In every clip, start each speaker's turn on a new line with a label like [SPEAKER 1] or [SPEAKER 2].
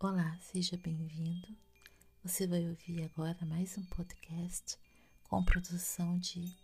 [SPEAKER 1] Olá, seja bem-vindo. Você vai ouvir agora mais um podcast com produção de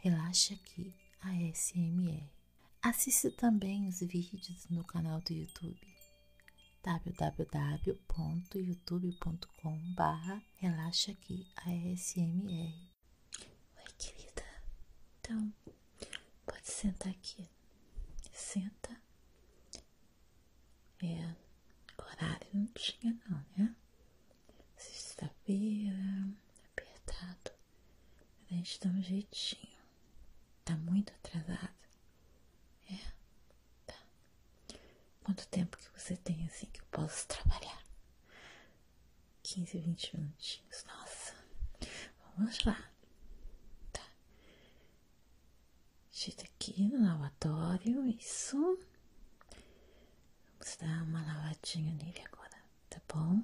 [SPEAKER 1] Relaxa Aqui ASMR. Assista também os vídeos no canal do YouTube www.youtube.com/barra relaxa aqui ASMR. Oi, querida. Então, pode sentar aqui. Senta é, horário não tinha não, né? Sexta-feira, apertado. A gente dá um jeitinho. Tá muito atrasado. É, tá. Quanto tempo que você tem assim que eu posso trabalhar? 15, 20 minutinhos. Nossa, vamos lá. Tá. Uscite tá aqui no lavatório, isso. Vamos dar uma lavadinha nele agora, tá bom?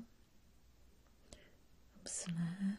[SPEAKER 1] Vamos lá.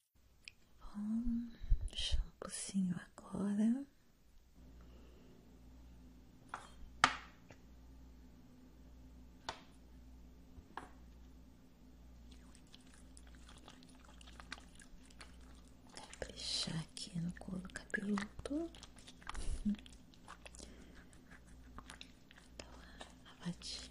[SPEAKER 1] Bom, shampoozinho agora. Caprichar aqui no couro cabeludo. Então, tá a latinha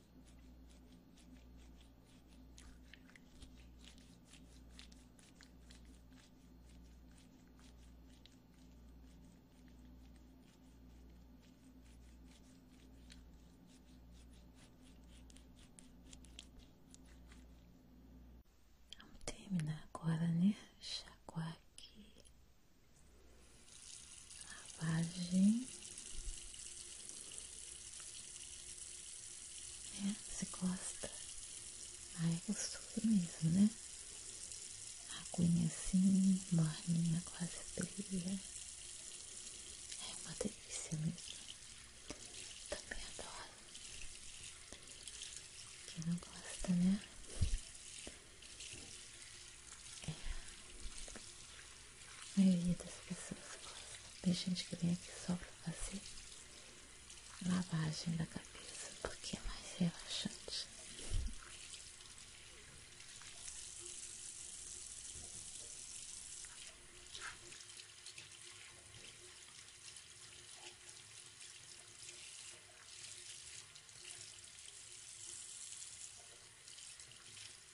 [SPEAKER 1] Vamos terminar agora, né? Chacoar aqui lavagem. né você gosta? aí é gostoso mesmo, né? a Aguinha assim, morninha, quase fria. É uma delícia mesmo. Também adoro. Quem não gosta, né? É. A maioria das pessoas gosta. Tem gente que vem aqui só pra fazer lavagem da cabeça, porque é mais relaxante.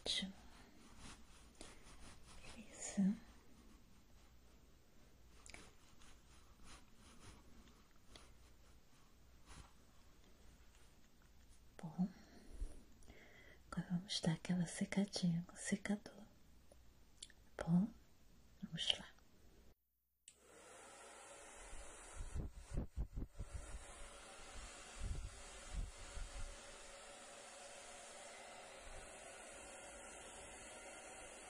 [SPEAKER 1] Ótimo, isso Bom, agora vamos dar aquela secadinha com secador. Bom, vamos lá.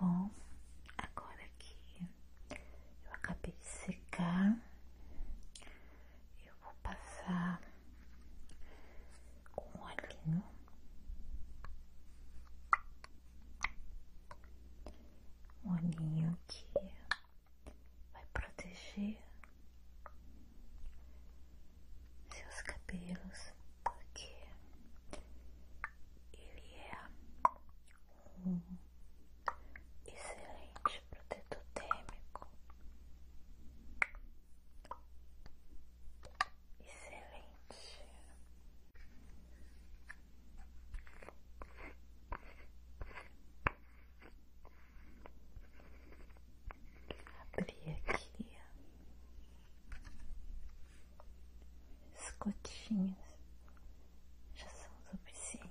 [SPEAKER 1] Bom, agora que eu acabei de secar, eu vou passar com o olhinho o olhinho aqui vai proteger seus cabelos porque ele é um excelente protetor térmico Excelente. Abri aqui as gotinhas já são suficientes.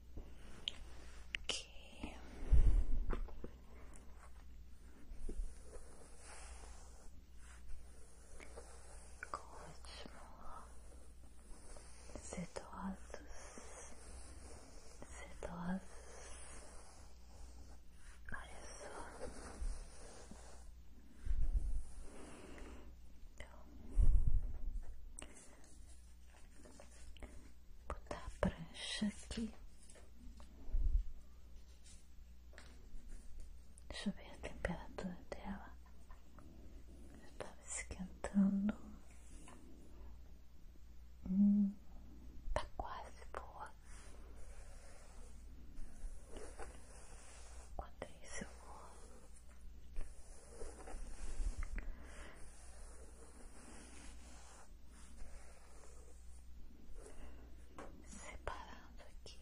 [SPEAKER 1] Aqui. Ótimo. Sedosos. Sedosos. Olha só. Então, Vou botar a prancha aqui. Deixa eu ver a temperatura dela. Já estava esquentando. Hum, tá quase boa. Quanto é isso eu vou separando aqui.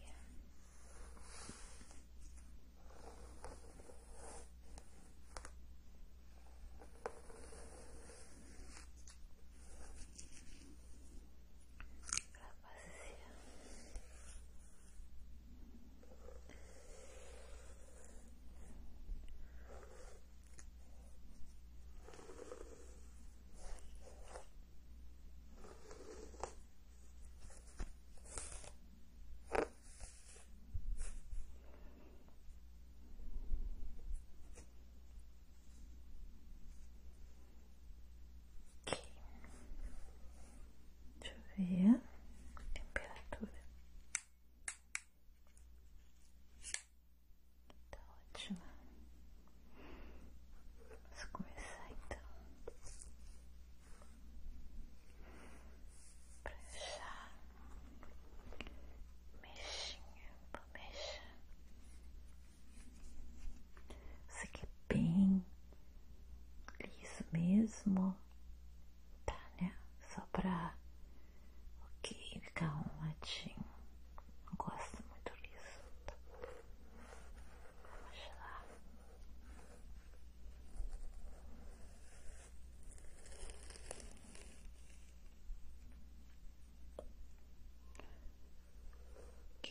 [SPEAKER 1] Pra passear. Deixa eu Temperatura Tá ótimo. Vamos começar então. Pra fechar. Mexinha, bonecha. Isso aqui é bem liso mesmo tá, né? Só pra. Ok, ficar um Não gosto muito disso. Vamos lá. Ok.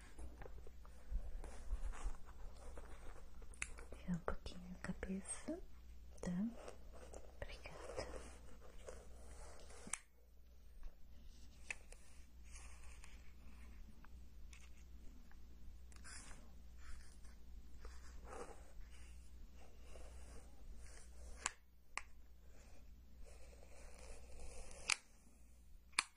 [SPEAKER 1] Pegar um pouquinho a cabeça, tá? Obrigada.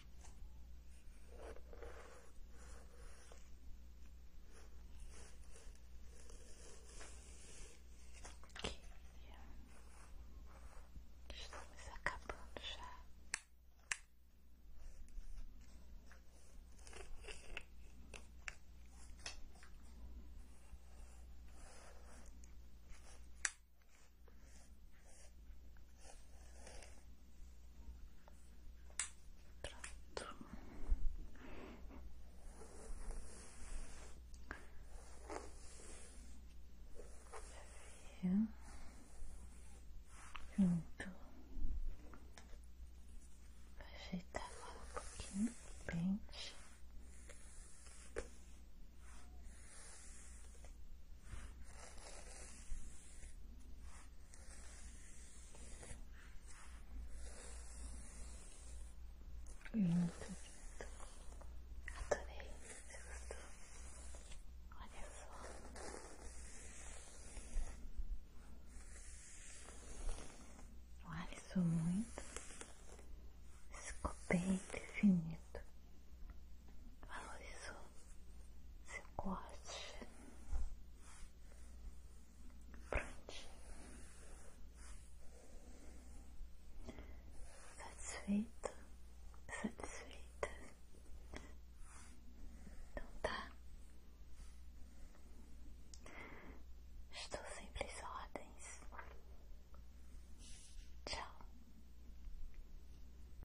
[SPEAKER 1] Aqui. Estamos acabando já. Pronto. Viu? Pronto. Vou ajeitar agora um pouquinho pente. Muito lindo. Adorei. Você gostou? Olha só. O alisou muito. Ficou bem definido valorizou seu corte prontinho, satisfeito, satisfeita. Então tá. Estou sempre às ordens. Tchau.